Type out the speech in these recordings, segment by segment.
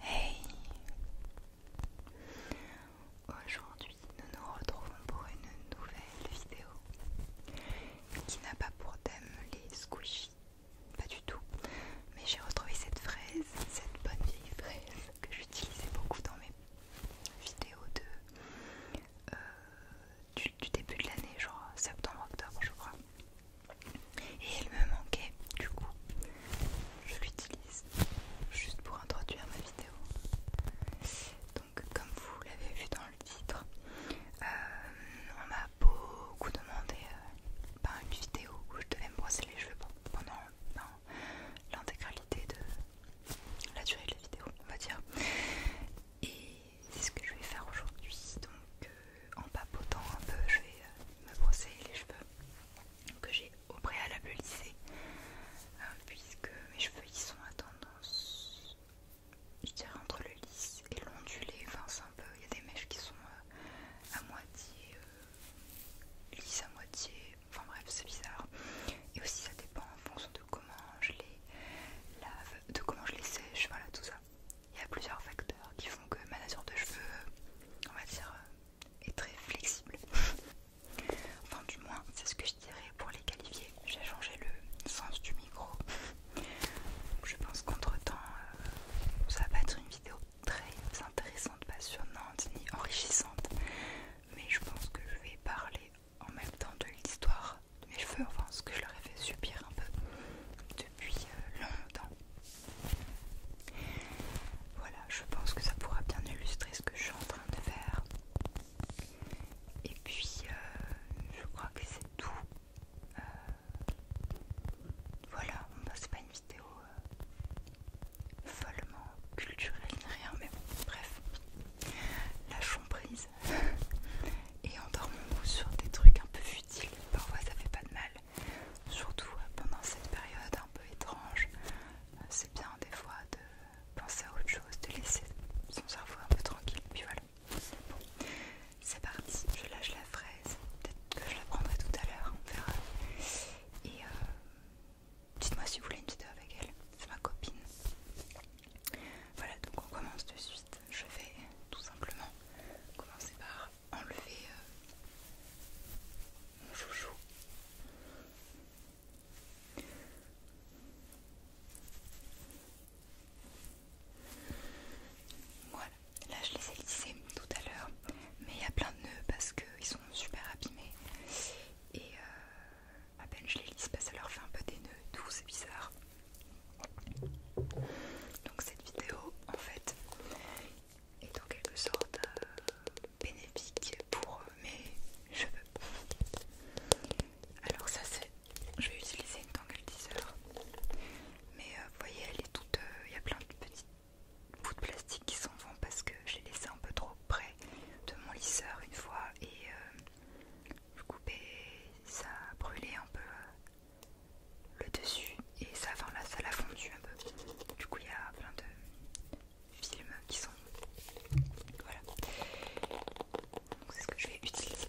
Hey Aujourd'hui, nous nous retrouvons pour une nouvelle vidéo qui n'a pas pour thème les squishies, pas du tout, mais j'ai retrouvé cette fraise, cette bonne vieille fraise que j'utilisais beaucoup dans mes vidéos de, euh, du, début de l'année, genre septembre-octobre, je crois. Et elle me manquait, du coup, je l'utilise juste pour introduire ma vidéo. Donc, comme vous l'avez vu dans le titre, euh, on m'a beaucoup demandé par euh, bah, une vidéo où je devais me brosser les cheveux pendant l'intégralité de la durée de la vidéo, on va dire. Et c'est ce que je vais faire aujourd'hui. Donc, euh, en papotant un peu, je vais euh, me brosser les cheveux que j'ai au préalable lissé, hein, puisque mes cheveux ils sont à tendance, je dirais entre le lisse et l'ondulé. Enfin, un peu, il y a des mèches qui sont euh, à moitié lisse à moitié, enfin bref c'est bizarre et aussi ça dépend en fonction de comment je les lave, de comment je les sèche, voilà tout ça. Il y a plusieurs facteurs qui font que ma nature de cheveux, on va dire, euh, est très flexible. enfin du moins c'est ce que je dirais pour les qualifier. J'ai changé le sens du micro. je pense qu'entre temps euh, ça va pas être une vidéo très intéressante, passionnante ni enrichissante. Mais je pense que je vais parler en même temps de l'histoire de mes cheveux, enfin ce que je leur ai fait subir un peu depuis euh, longtemps. Voilà, je pense que ça pourra bien illustrer ce que je suis en train de faire. Et puis, euh, je crois que c'est tout. Euh, voilà, bah, c'est pas une euh, follement culturelle rien, mais bon, bref, lâchons prise et endormons-nous sur des trucs un peu futiles. Parfois, ça fait pas de mal, surtout euh, pendant cette période un peu étrange. Euh, c'est bien des fois de penser à autre chose, de laisser son cerveau un peu tranquille. Puis voilà, c'est parti. Je lâche la fraise. Peut-être que je la prendrai tout à l'heure. On verra. Et euh, dites-moi si vous voulez une vidéo avec elle, c'est ma copine. Voilà, donc on commence de suite. Je vais tout simplement commencer par enlever euh, mon chouchou. Voilà, là je les ai lissés tout à l'heure, mais il y a plein de nœuds parce qu'ils sont super abîmés et à euh, peine je les lisse, que ça leur fait un peu des nœuds doux, c'est bizarre. Donc cette vidéo en fait est en quelque sorte euh, bénéfique pour mes cheveux. Alors ça c'est, je vais utiliser une tangle teaser, mais euh, vous voyez elle est toute, il y a plein de petites bouts de plastique qui s'en vont parce que je l'ai laissé un peu trop près de mon lisseur une fois et j'ai euh, je ça a brûlé un peu euh, le dessus et ça, enfin là, ça l'a fondu un peu. Du coup, il y a plein de films qui sont. Voilà. Donc, c'est ce que je vais utiliser.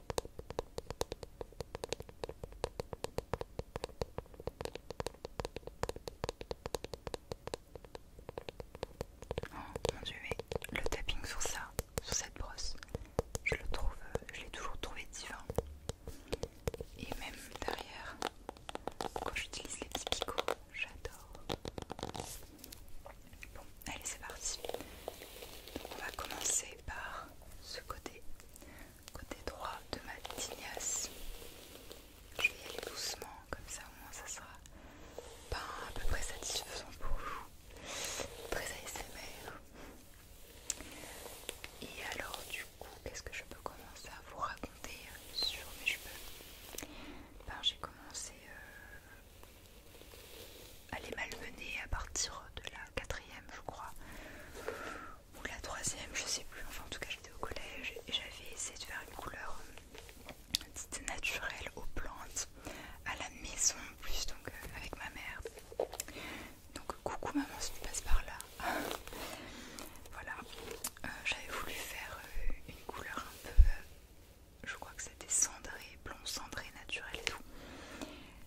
Oh mon dieu, mais le tapping sur ça, sur cette brosse, je le trouve, euh, je l'ai toujours trouvé divin. Et même derrière, quand j'utilise les petits picots, j'adore. Bon, allez, c'est parti. On va commencer par ce côté côté droit de ma tignasse. Je vais y aller doucement, comme ça au moins ça sera pas à peu près satisfaisant pour vous. Très ASMR. Et alors du coup, qu'est-ce que je peux commencer à vous raconter sur mes cheveux ben, J'ai commencé euh, à les malmener à partir de là quatrième je crois ou la troisième je sais plus enfin en tout cas j'étais au collège et j'avais essayé de faire une couleur euh, naturelle aux plantes à la maison plus donc euh, avec ma mère donc coucou maman si tu passes par là voilà euh, j'avais voulu faire une couleur un peu je crois que c'était cendré blond cendré naturel et tout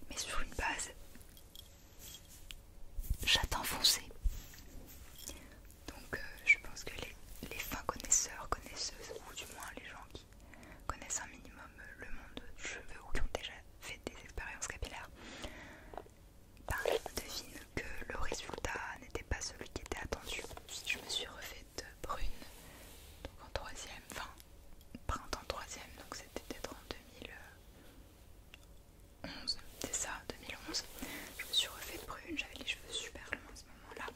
mais sur une base J'attends foncé. Donc euh, je pense que les, fins connaisseurs, connaisseuses, ou du moins les gens qui connaissent un minimum le monde du cheveux ou qui ont déjà fait des expériences capillaires, bah, devinent que le résultat n'était pas celui qui était attendu. Je me suis refaite brune, donc en troisième, fin printemps troisième, donc c'était peut-être en 2011, c'est ça, 2011. Je me suis refait prune, j'avais les cheveux super longs à ce moment-là.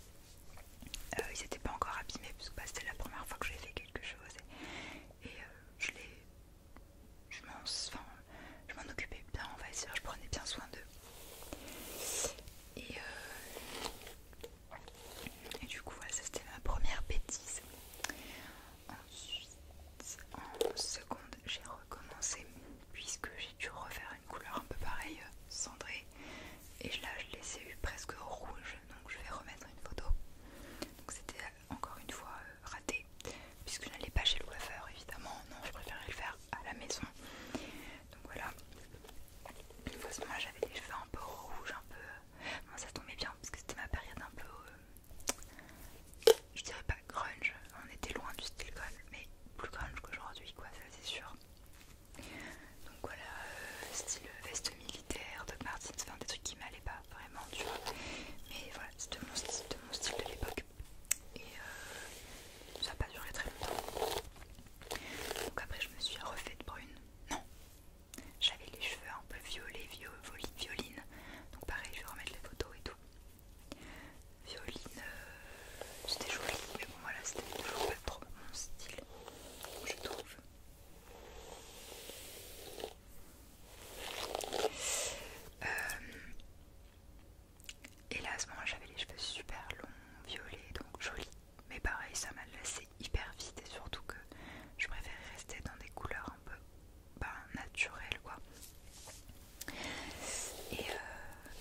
Euh, ils n'étaient pas encore abîmés parce que bah, c'était la première fois que j'ai fait quelque chose et, euh, je je m'en, je m'en occupais bien, on va dire, je prenais bien soin d'eux. Et, euh, et du coup, voilà, ça c'était ma première bêtise. Ensuite, en seconde, j'ai recommencé puisque j'ai dû refaire une couleur un peu pareille, euh, cendrée. Et là, je l'ai ai eu presque rouge, donc je vais remettre une photo. Donc c'était euh, encore une fois euh, raté, puisque je n'allais pas chez le coiffeur, évidemment. Non, je préférais le faire à la maison. Donc voilà. Une fois que moi j'avais les cheveux un peu rouges, un peu moi ça tombait bien parce que c'était ma période un peu. Euh, je dirais pas grunge, on était loin du style grunge, mais plus grunge qu'aujourd'hui, quoi, ça c'est sûr. Donc voilà, euh, style veste militaire, Doc Martens, enfin des trucs qui m'allaient pas vraiment, tu vois. Mais voilà, c'était mon, mon style de l'époque. Et euh, ça n'a pas duré très longtemps. Donc après, je me suis refaite brune. Non, j'avais les cheveux un peu violets, violines violine. Donc pareil, je vais remettre les photos et tout. Violine, euh, c'était joli, mais bon voilà, c'était toujours pas trop mon style, je trouve. Hélas, euh, et là ce j'avais les cheveux super longs, violets, donc jolis. Mais pareil, ça m'a lassé hyper vite et surtout que je préfère rester dans des couleurs un peu ben, naturel quoi. Et euh,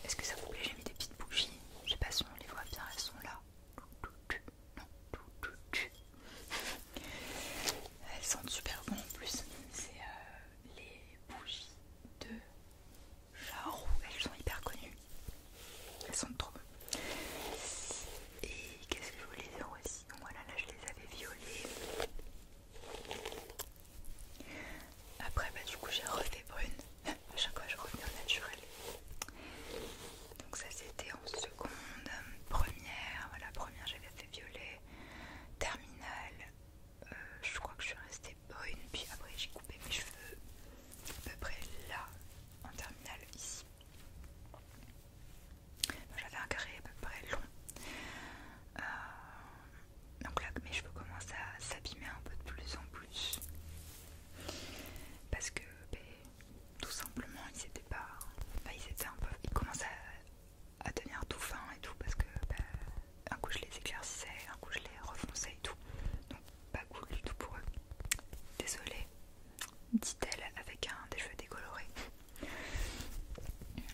est-ce que ça vous plaît J'ai mis des petites bougies. Je sais pas si on les voit bien, elles sont là. Elles sentent super bon en plus. C'est euh, les bougies de Jarou. Elles sont hyper connues. Elles sentent trop bon. Et qu'est-ce que je voulais dire aussi donc Voilà, là je les avais violées. Après, bah, du coup, j'ai refait brune. À chaque fois, je revenais en naturel. Donc, ça c'était en seconde. Première, voilà, première, j'avais fait violet. Terminale, euh, je crois que je suis restée brune. Puis après, j'ai coupé mes cheveux à peu près là, en terminale, ici. J'avais un carré à peu près long. Euh, donc là, mes cheveux commencent à s'abîmer un peu de plus en plus. Parce que, ben, tout simplement, ils étaient pas. ils étaient un peu. Ils commencent à, tenir tout fin et tout. Parce que, ben, un coup je les éclaircissais, un coup je les refonçais et tout. Donc, pas cool du tout pour eux. Désolée, dit-elle avec un des cheveux décolorés.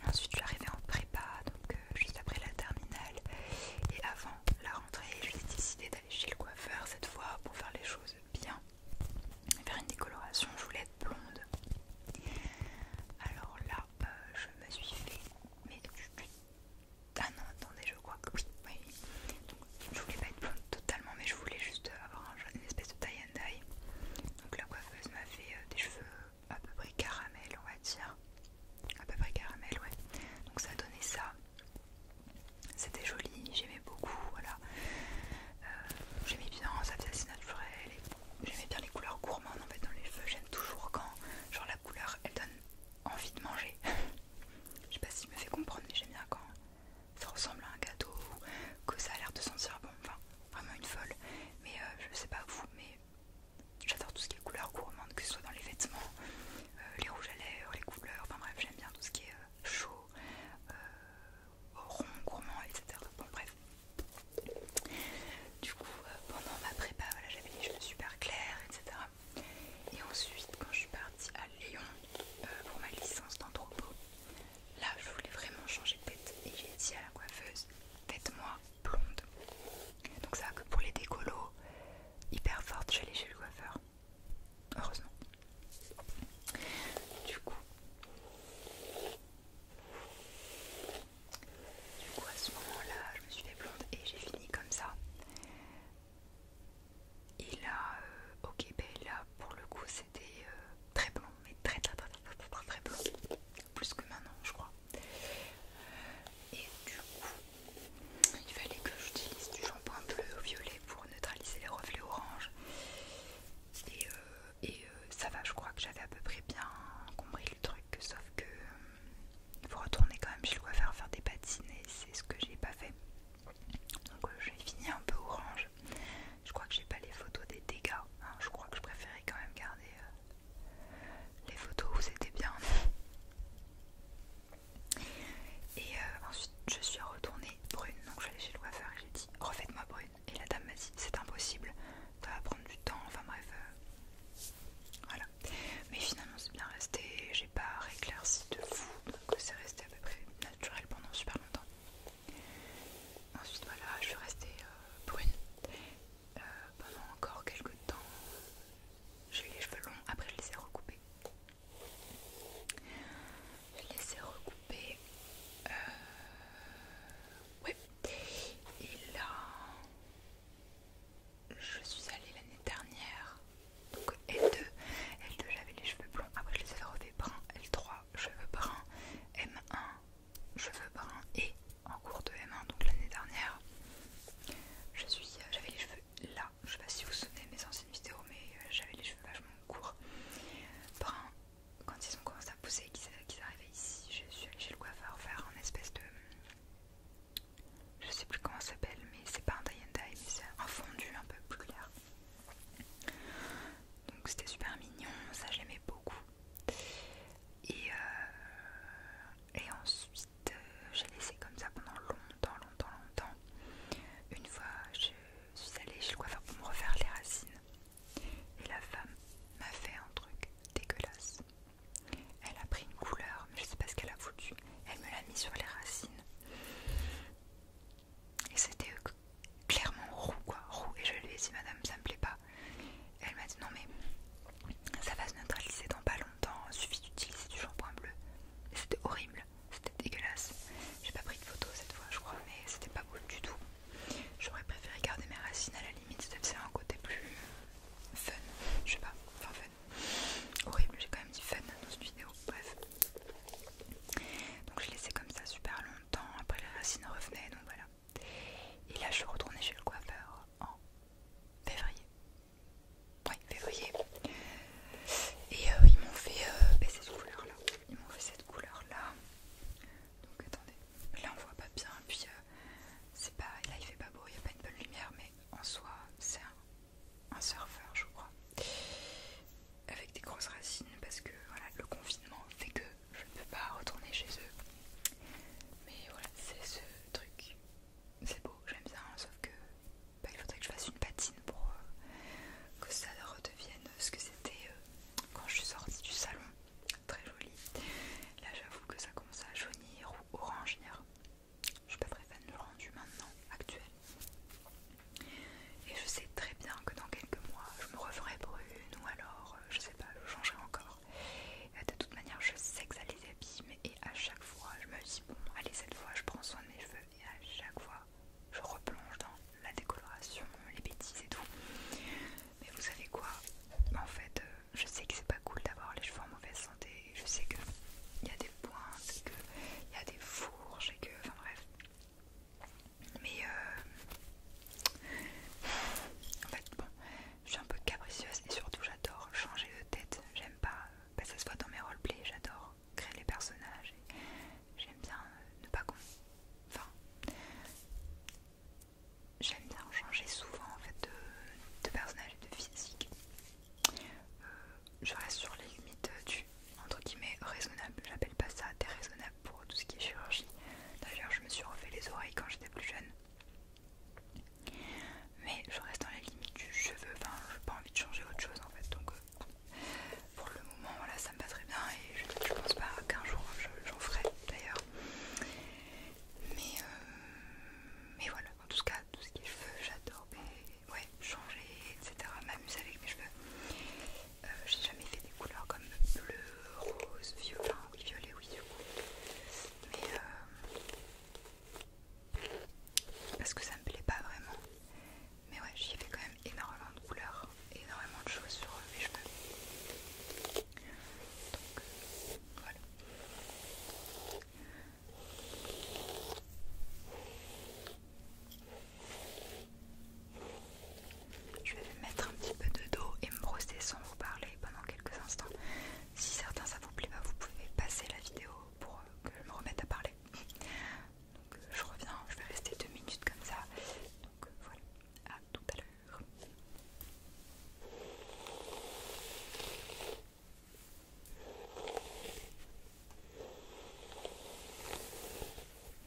Ensuite, je suis arrivée en prépa, donc euh, juste après la terminale et avant la rentrée, j'ai décidé d'aller chez le coiffeur cette fois pour faire les choses bien. Faire une décoloration, je voulais être blonde. Alors là, euh, je me suis fait. Mais ah attendez, je crois que oui, Donc, je voulais pas être blonde totalement, mais je voulais juste avoir un, une espèce tie and dye. Donc la coiffeuse m'a fait euh, des cheveux euh, à peu près caramel, on va dire. À peu près caramel, ouais. Donc ça a donné ça. C'était joli, j'aimais beaucoup, voilà. Euh, j'aimais bien, ça faisait assez naturel. J'aimais bien les couleurs gourmandes en fait dans les cheveux. J'aime toujours quand genre la couleur elle donne envie de manger. Je sais pas si je me fais comprendre, mais j'aime bien quand ça ressemble à un gâteau que ça a l'air de sentir bon, enfin vraiment une folle. Mais euh, je sais pas vous, mais j'adore tout ce qui est couleur gourmande, que ce soit dans les vêtements, euh, les rouges à l'air les couleurs, enfin bref, j'aime bien tout ce qui est euh, chaud, rond, gourmand, etc. Bon, bref. Du coup, pendant ma prépa, j'avais les cheveux super clairs, etc. Et ensuite, quand je suis partie à Lyon pour ma licence d'anthropo, Là, je voulais vraiment changer de tête et j'ai dit à la coiffeuse Faites-moi blonde. Donc, ça que pour les décolos hyper fortes, je les chez le coiffeur. Heureusement. Du coup, du coup à ce moment-là, je me suis fait blonde et j'ai fini comme ça. Et là, au euh, ok, ben là, pour le coup, c'était. Euh, très blanc, mais très très très très très très, plus que maintenant je crois. Euh, et du coup, il fallait que j'utilise du shampoing bleu ou violet pour neutraliser les reflets orange. Et, euh, euh, ça va, je crois que j'avais à peu près bien compris le truc, sauf que il faut retourner quand même je le coiffeur faire des patines et c'est ce que j'ai pas fait. Donc j'ai fini un peu orange je crois que j'ai pas les photos des dégâts. Hein. Je crois que je préférais quand même garder euh, les photos où c'était bien. Et euh, ensuite, je suis retournée brune. Donc, je suis allée chez le coiffeur et j'ai dit refaites-moi brune. Et la dame m'a dit c'est impossible, ça va prendre du temps. Enfin, bref. Euh, voilà. Mais finalement, c'est bien resté. J'ai pas réclairci de fou. Donc, c'est resté à peu près naturel pendant super longtemps. Ensuite voilà, je suis restée euh, brune euh, pendant encore quelques temps. J'ai eu les cheveux longs, après je les ai recoupés. Je les ai recoupés. Euh, ouais. Et là, je suis allée l'année dernière. Donc L2, L2 j'avais les cheveux blonds, après je les ai refait bruns, L3 cheveux brun M1 cheveux bruns et en cours de M1 donc l'année dernière je suis euh, j'avais les cheveux là je sais pas si vous vous souvenez de mes anciennes vidéos mais euh, j'avais les cheveux vachement courts bruns quand ils ont commencé à pousser et qu'ils arrivaient ici je suis allée chez le coiffeur faire un espèce de je sais plus comment ça s'appelle mais c'est pas un tie and dye mais c'est un fondu un peu plus clair donc c'était super mignon, ça j'aimais beaucoup. Et, euh, et ensuite euh, j'ai laissé comme ça pendant longtemps, longtemps, longtemps. Une fois je suis allée chez le coiffeur pour me refaire les racines. Et la femme m'a fait un truc dégueulasse. Elle a pris une couleur, mais je sais pas ce qu'elle a foutu. Elle me l'a mis sur les racines. Et c'était euh, clairement roux quoi, roux. Et je lui ai dit madame ça me plaît pas. elle m'a dit non mais ça va se neutraliser dans pas longtemps, suffit d'utiliser du shampoing bleu. Et c'était horrible, c'était dégueulasse. J'ai pas pris de photo cette fois je crois mais c'était pas beau du tout. J'aurais préféré garder mes racines à la limite, C'était un côté plus fun, je sais pas, enfin fun. Horrible, j'ai quand même dit fun dans cette vidéo, bref. Donc je l'ai laissé comme ça super long temps après les racines revenaient, donc voilà. Et là, je suis retournée chez le coiffeur en février. Oui, février. Et euh, ils m'ont fait euh, baisser cette couleur-là. fait cette couleur-là. Donc attendez, là on voit pas bien. et Puis euh, c'est pas, là il fait pas beau, il n'y a pas une bonne lumière, mais en soi c'est un surfeur, je crois avec des grosses racines parce que voilà, le confinement fait que je ne peux pas retourner chez eux. Mais voilà, c'est ce truc. C'est beau, j'aime bien, sauf que bah, il faudrait que je fasse une patine pour euh, que ça redevienne ce que c'était euh, quand je suis sortie du salon. Très joli. Là, j'avoue que ça commence à jaunir ou orange. Je suis pas très fan du rendu maintenant, actuel. Et je sais très bien que dans quelques mois, je me referai brune ou alors, euh, je sais pas, je changerai encore. De toute manière, je sais que ça les abîme et à chaque fois, je me dis, bon, allez, cette fois, je prends soin de mes cheveux et à chaque fois, je replonge dans la décoloration, les bêtises et tout. Mais vous savez quoi En fait, euh, je sais que c'est pas cool d'avoir les cheveux en mauvaise santé. Je sais qu'il y a des pointes, qu'il y a des fourches et que, enfin bref, mais euh, en fait, bon, je suis un peu capricieuse et surtout j'adore changer de tête. J'aime pas, euh, bah, que ça se voit dans mes roleplays, j'adore créer les personnages. J'aime bien euh, ne pas con. Enfin, j'aime bien changer souvent en fait de, personnage et de physique. je reste sur les limites du entre guillemets raisonnable. J'appelle pas ça déraisonnable pour tout ce qui est chirurgie. D'ailleurs, je me suis refait les oreilles quand j'étais plus jeune. Mais je reste dans les limites du cheveu, enfin, j'ai pas envie de changer autre chose en fait. Donc, euh, pour le moment, voilà, ça me va très bien et je, ne pense pas qu'un jour j'en ferai d'ailleurs. Mais, euh, mais voilà, en tout cas, tout ce qui est cheveux, j'adore. Ouais, changer, etc. M'amuser avec mes cheveux. Euh, j'ai jamais fait des couleurs comme bleu, rose, violet, oui, violet, oui, du coup. Mais euh, parce que ça me plaît pas vraiment. Mais ouais, j'y ai fait quand même énormément de couleurs, énormément de choses sur euh, mes cheveux. Donc voilà. Je vais mettre un petit peu de dos et me brosser sans vous parler pendant quelques instants. Si certains ça vous plaît pas, vous pouvez passer la vidéo pour euh, que je me remette à parler. Donc euh, je reviens, je vais rester deux minutes comme ça. Donc euh, voilà, à tout à l'heure.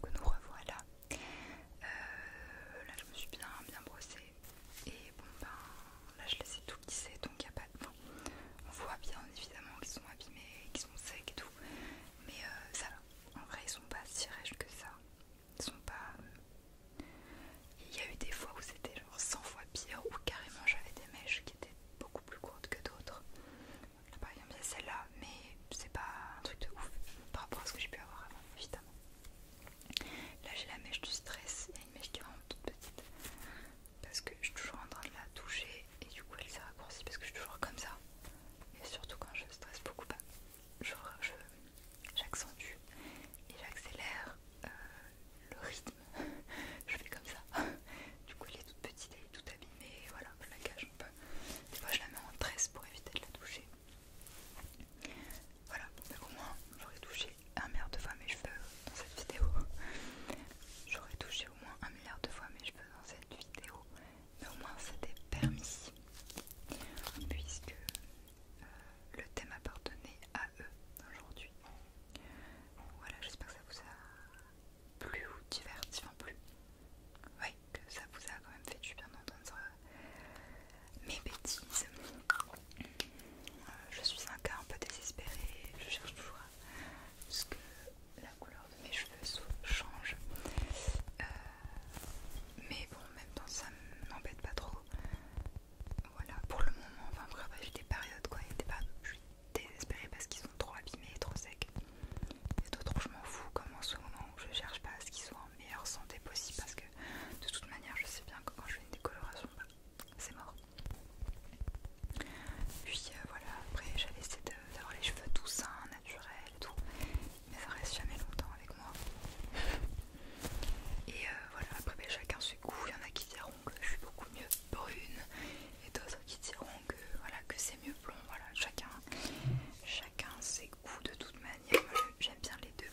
Donc nous revoilà. Euh, là je me suis bien bien brossée et bon ben là je laisse tout qui sait donc on voit bien évidemment qu'ils sont abîmés, qu'ils sont secs et tout, mais euh, ça va. En vrai, ils sont pas si rêches que ça. Ils sont pas. Euh, il y a eu des fois où c'était genre 100 fois pire, Ou carrément j'avais des mèches qui étaient beaucoup plus courtes que d'autres. Par exemple, celle-là, mais c'est pas un truc de ouf par rapport à ce que j'ai pu avoir avant, évidemment. Là, j'ai la mèche du stress, il une mèche qui est vraiment toute petite parce que je suis toujours en train de la toucher et du coup elle s'est raccourcie parce que je suis toujours comme ça et surtout quand je stresse beaucoup pas, bah, j'accentue et j'accélère euh, le rythme je fais comme ça du coup elle est toute petite elle est toute abîmée voilà je la cache un peu des fois je la mets en tresse pour éviter de la toucher voilà au moins j'aurais touché un milliard de fois mes cheveux dans cette vidéo. J'aurais touché au moins un milliard de fois mes cheveux dans cette vidéo. Mais au moins c'était permis. Puisque euh, le thème appartenait à eux aujourd'hui. Voilà, j'espère que ça vous a plu ou diverti, en plus. Ouais, que ça vous a quand même fait du bien d'entendre euh, mes bêtises. Euh, je suis un cas un peu désespéré, je cherche toujours parce que la couleur de mes cheveux change. Euh, mais bon, même temps ça m'embête pas trop. Voilà, pour le moment, enfin après j'ai des périodes quoi, des je suis désespérée parce qu'ils sont trop abîmés et trop secs. Et d'autres je m'en fous comme en ce moment où je cherche pas à ce qu'ils soient en meilleure santé possible parce que de toute manière je sais bien que quand je fais une décoloration bah, c'est mort. Puis euh, voilà, après j'avais essayé d'avoir les cheveux tout sains, naturels et tout, mais ça reste jamais longtemps avec moi. Et euh, voilà, après ben, chacun ses goûts, il y en a qui diront que je suis beaucoup mieux brune et d'autres qui diront que, voilà, que c'est mieux blond, voilà, chacun, chacun ses goûts de toute manière, moi j'aime bien les deux.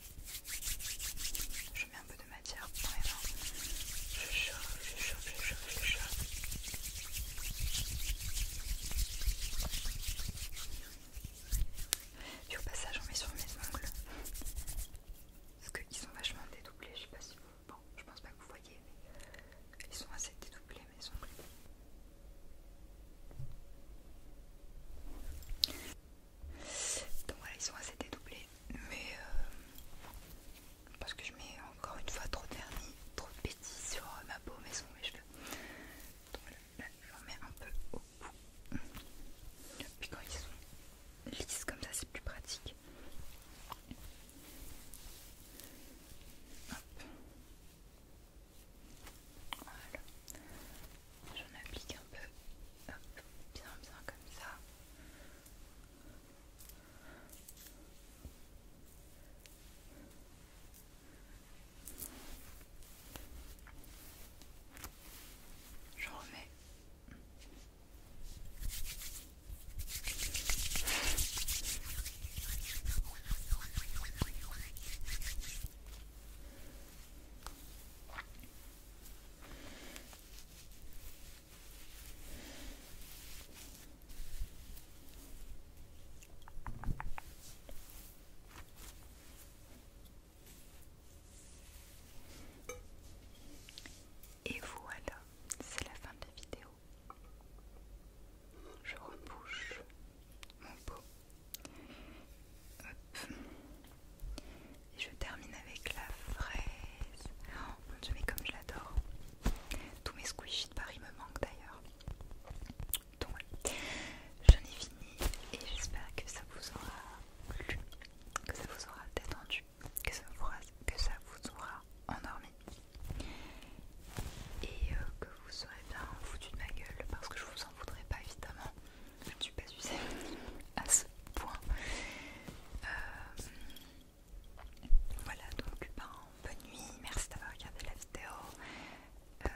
Je mets un peu de matière pour les Je chauffe, je chauffe, je chauffe, je chauffe. au passage, on met sur mes ongles. Parce qu'ils sont vachement dédoublés. Je sais pas si vous. Bon, je pense pas que vous voyez, mais ils sont assez dédoublés mes ongles. Donc voilà, ils sont assez dédoublés. Mais euh, parce que je mets encore une fois trop de vernis, trop de sur ma peau, mais sur mes cheveux. Donc là, je mets un peu au bout. Puis quand ils sont lisses comme ça, c'est plus pratique. Voilà. J'en applique un peu. Hop, bien bien comme ça. Je remets. Et voilà, c'est la fin de la vidéo. Je rebouche mon pot. Et je termine avec la fraise. Oh mon dieu, mais comme je l'adore. Tous mes squishies de Paris me manquent d'ailleurs. Donc voilà j'en ai fini et j'espère que ça vous aura plu, que ça vous aura détendu, que ça vous aura, que ça vous aura endormi. Et euh, que vous serez bien foutu de ma gueule parce que je vous en voudrais pas évidemment je ne suis pas usée à ce point. Euh, voilà, donc ben, bonne nuit, merci d'avoir regardé la vidéo. Euh,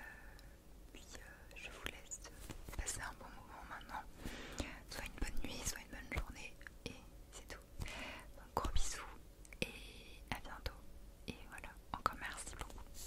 puis euh, je vous laisse passer un bon moment maintenant. Soit une bonne nuit, soit une bonne journée, et c'est tout. Donc gros bisous et à bientôt. Et voilà, encore merci beaucoup.